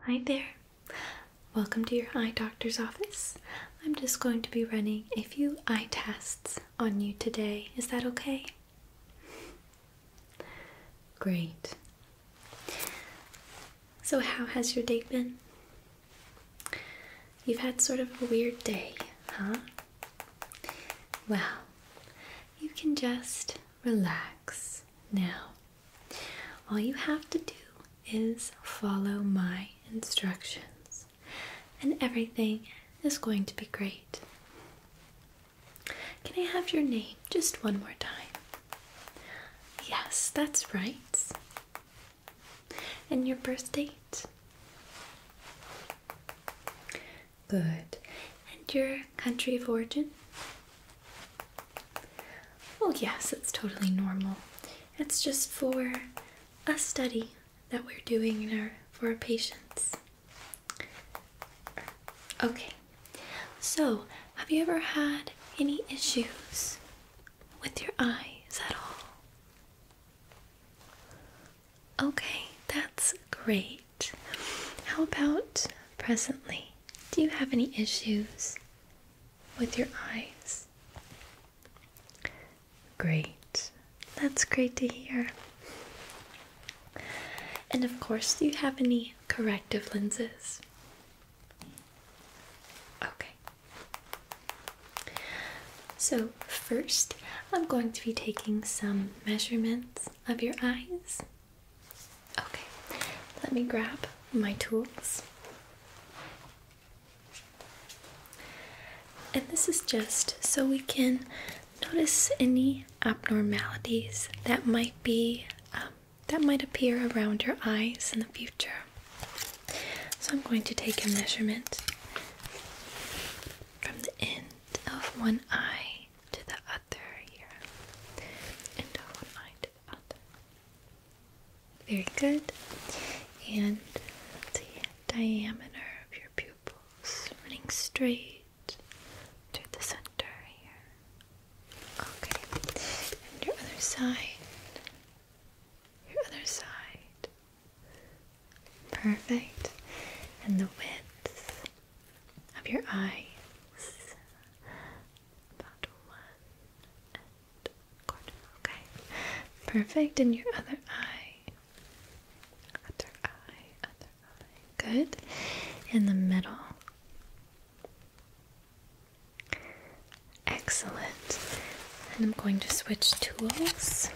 Hi there. Welcome to your eye doctor's office. I'm just going to be running a few eye tests on you today. Is that okay? Great. So, how has your day been? You've had sort of a weird day, huh? Well, you can just relax. Now, all you have to do is follow my instructions, and everything is going to be great. Can I have your name just one more time? Yes, that's right. And your birth date? Good. And your country of origin? Well, yes, it's totally normal. It's just for a study that we're doing for our patients. Okay, so have you ever had any issues with your eyes at all? Okay, that's great. How about presently? Do you have any issues with your eyes? Great. That's great to hear. And of course, do you have any corrective lenses? Okay. So, first, I'm going to be taking some measurements of your eyes Okay, let me grab my tools. And this is just so we can notice any abnormalities that might be um, that might appear around your eyes in the future. So I'm going to take a measurement from the end of one eye to the other here, and one eye to the other. Very good. And the diameter of your pupils running straight to the center here. Okay. And your other side. Your other side. Perfect. And the width of your eyes. Okay. Perfect. And your other eye. Other eye. Other eye. Good. In the middle. Excellent. And I'm going to switch tools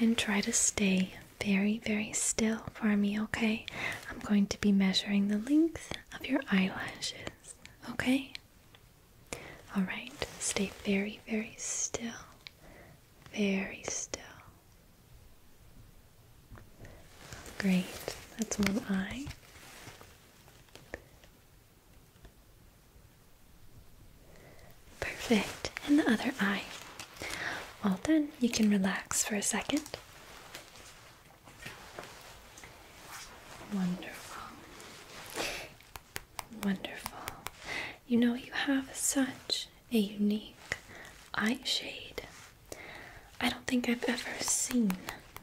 and try to stay very, very still for me, okay? I'm going to be measuring the length of your eyelashes, okay? Alright, stay very, very still. Very still. Great, that's one eye. Perfect. And the other eye. All done. You can relax for a second. Wonderful. Wonderful. You know, you have such a unique eye shade. I don't think I've ever seen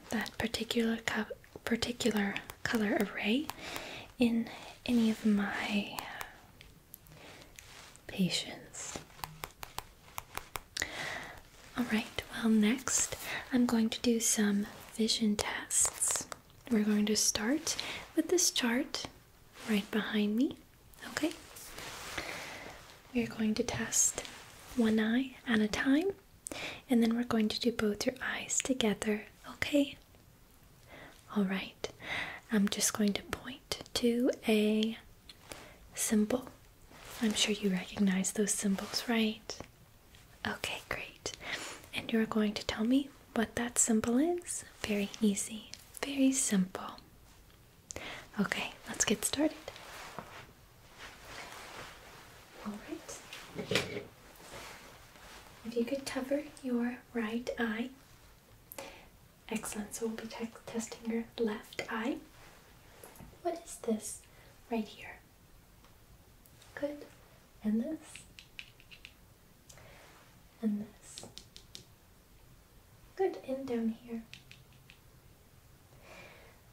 that particular particular color array in any of my patience. Alright, well, next I'm going to do some vision tests. We're going to start with this chart right behind me. Okay? We're going to test one eye at a time, and then we're going to do both your eyes together. Okay? Alright, I'm just going to point to a symbol. I'm sure you recognize those symbols, right? Okay, great. And you're going to tell me what that symbol is? Very easy, very simple. Okay, let's get started. Alright. If you could cover your right eye Excellent. So we'll be testing your left eye. What is this right here? Good. And this. And this. Good. And down here.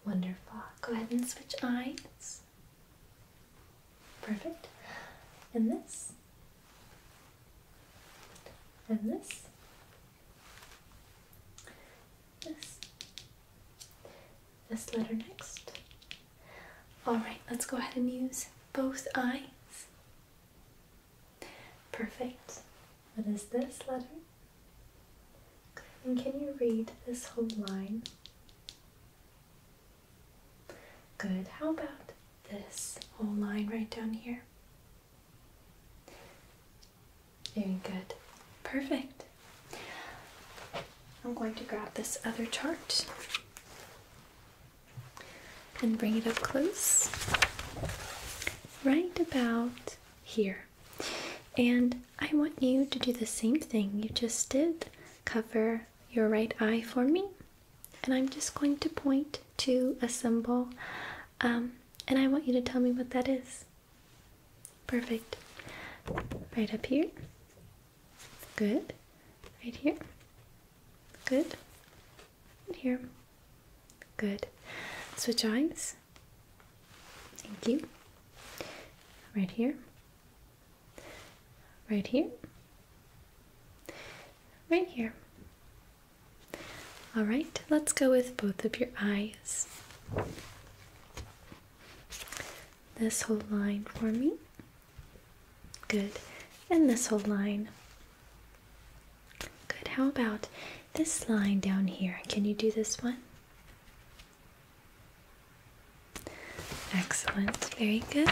Wonderful. Go ahead and switch eyes. Perfect. And this. And this. This. This letter next. Alright, let's go ahead and use both eyes. Perfect. What is this letter? And can you read this whole line? Good. How about this whole line right down here? Very good. Perfect. I'm going to grab this other chart and bring it up close, right about here. And I want you to do the same thing you just did. Cover your right eye for me and I'm just going to point to a symbol um, and I want you to tell me what that is. Perfect. Right up here. Good. Right here. Good. here. Good. Switch eyes. Thank you. Right here right here, right here. All right, let's go with both of your eyes. This whole line for me. Good. And this whole line. Good. How about this line down here? Can you do this one? Excellent, very good.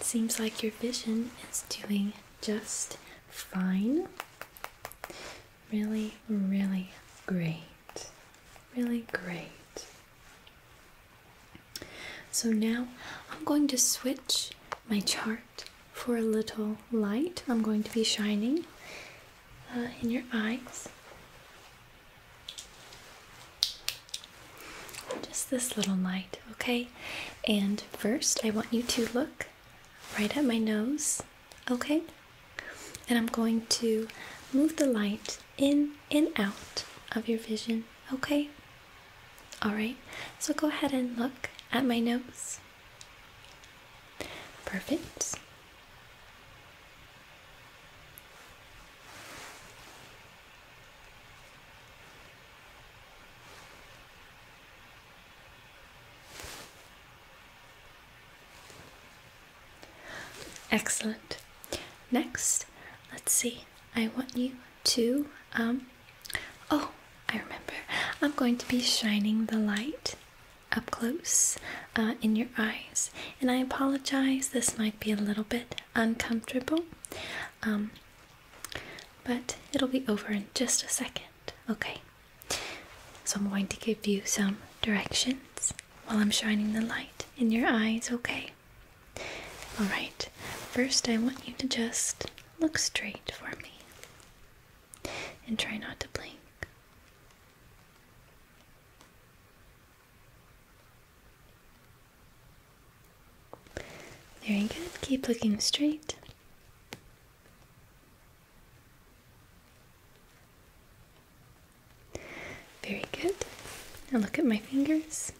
seems like your vision is doing just fine. Really, really great. Really great. So now I'm going to switch my chart for a little light. I'm going to be shining uh, in your eyes. Just this little light, okay? And first, I want you to look right at my nose, okay? And I'm going to move the light in and out of your vision, okay? Alright, so go ahead and look at my nose. Perfect. Excellent. Next, let's see. I want you to, um, oh, I remember. I'm going to be shining the light up close uh, in your eyes. And I apologize, this might be a little bit uncomfortable, um, but it'll be over in just a second. Okay, so I'm going to give you some directions while I'm shining the light in your eyes, okay? Alright, first I want you to just look straight for me and try not to blink. Very good. Keep looking straight. Very good. Now look at my fingers.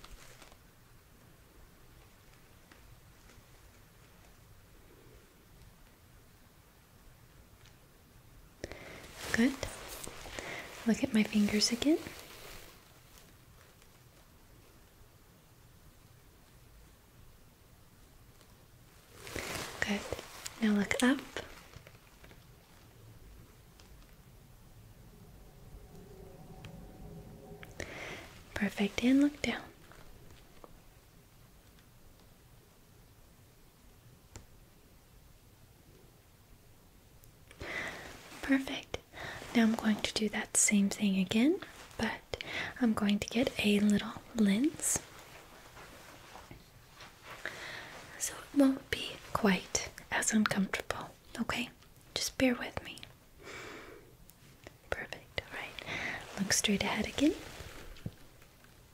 Good. Look at my fingers again. Good. Now look up. Perfect. And look down. Perfect. Now I'm going to do that same thing again, but I'm going to get a little lens. So it won't be quite as uncomfortable. Okay? Just bear with me. Perfect. Alright. Look straight ahead again.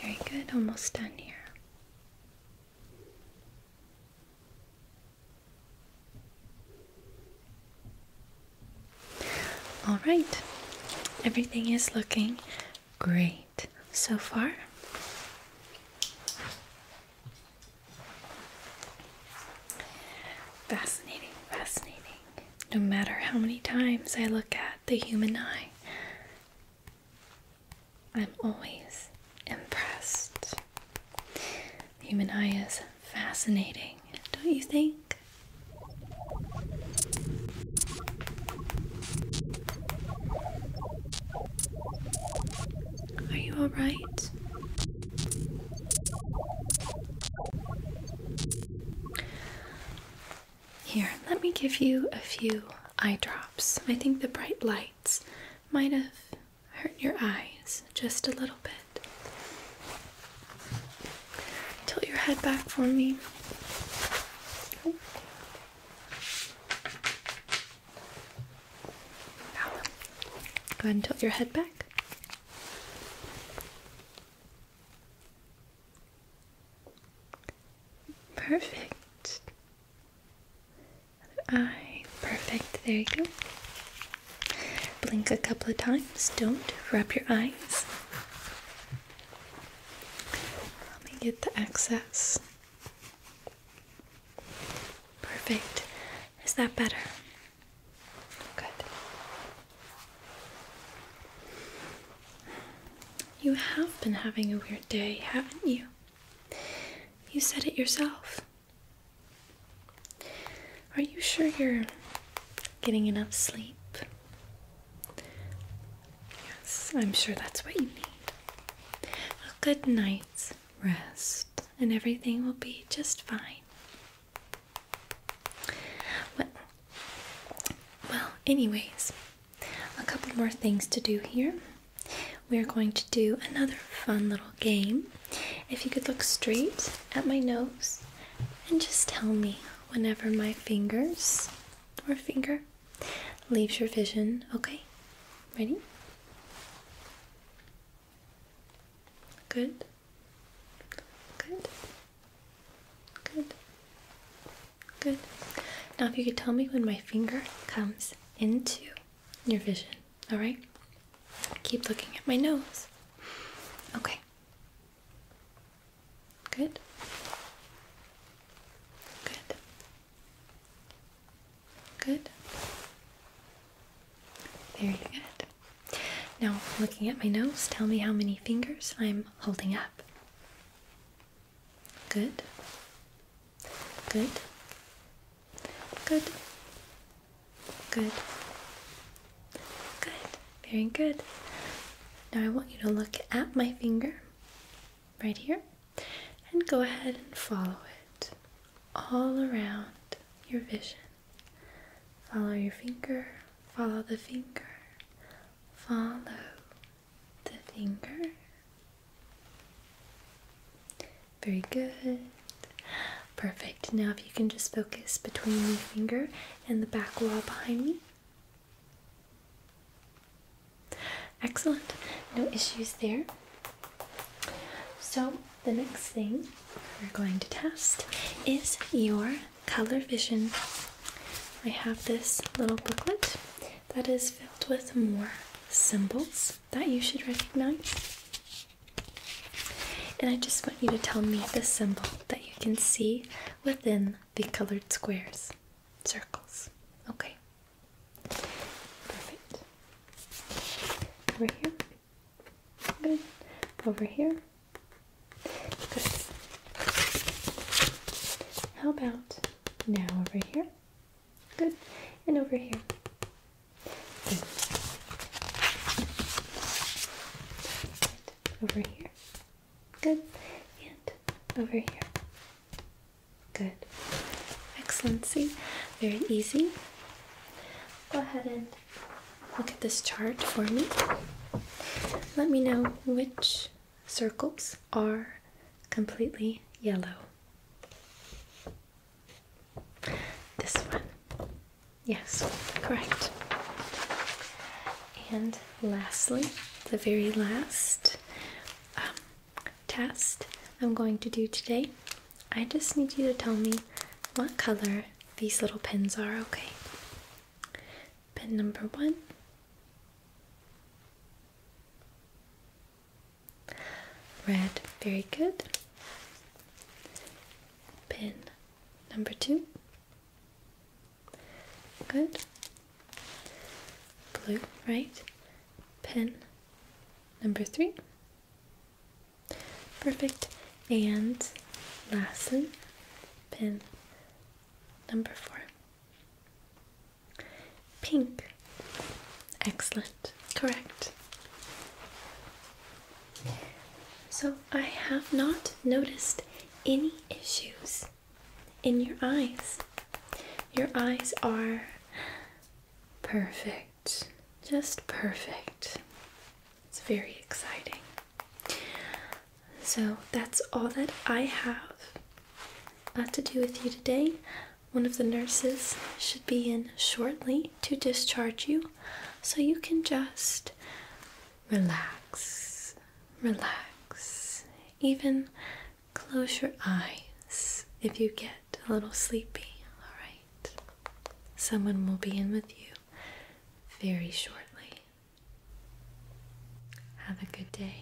Very good, almost done here. All right, everything is looking great so far. Fascinating, fascinating. No matter how many times I look at the human eye, I'm always impressed. The human eye is fascinating, don't you think? Are you alright? Here, let me give you a few eye drops. I think the bright lights might have hurt your eyes just a little bit. Tilt your head back for me. Go ahead and tilt your head back. Perfect. eye. Perfect. There you go. Blink a couple of times. Don't rub your eyes. Let me get the excess. Perfect. Is that better? Good. You have been having a weird day, haven't you? You said it yourself. Are you sure you're getting enough sleep? Yes, I'm sure that's what you need. A good night's rest, and everything will be just fine well, anyways, a couple more things to do here. We're going to do another fun little game. If you could look straight at my nose and just tell me whenever my fingers or finger leaves your vision, okay? Ready? Good. Good. Good. Good. Now, if you could tell me when my finger comes into your vision, all right? Keep looking at my nose. Okay. Good. Good. Good. Very good. Now, looking at my nose, tell me how many fingers I'm holding up. Good. Good. Good. Good. Good. Very good. Now I want you to look at my finger right here and go ahead and follow it all around your vision. Follow your finger, follow the finger, follow the finger. Very good. Perfect. Now, if you can just focus between the finger and the back wall behind me. Excellent. No issues there. So, the next thing we're going to test is your color vision. I have this little booklet that is filled with more symbols that you should recognize. And I just want you to tell me the symbol that you can see within the colored squares, circles. Okay, Perfect. Over here. Good. Over here. Good. How about now over here? Good. And over here. Good. Over here. Good. And over here. Good. excellency. very easy. Go ahead and look at this chart for me. Let me know which circles are completely yellow. This one. Yes, correct. And lastly, the very last um, test I'm going to do today, I just need you to tell me what color these little pins are, okay? Pin number one. Red, very good. Pin number two. Good. Blue, right? Pin Number three. Perfect. And lastly, pin number four. Pink. Excellent. Correct. So I have not noticed any issues in your eyes. Your eyes are Perfect. Just perfect. It's very exciting. So that's all that I have uh, to do with you today. One of the nurses should be in shortly to discharge you, so you can just relax, relax, even close your eyes if you get a little sleepy, alright? Someone will be in with you very shortly. Have a good day.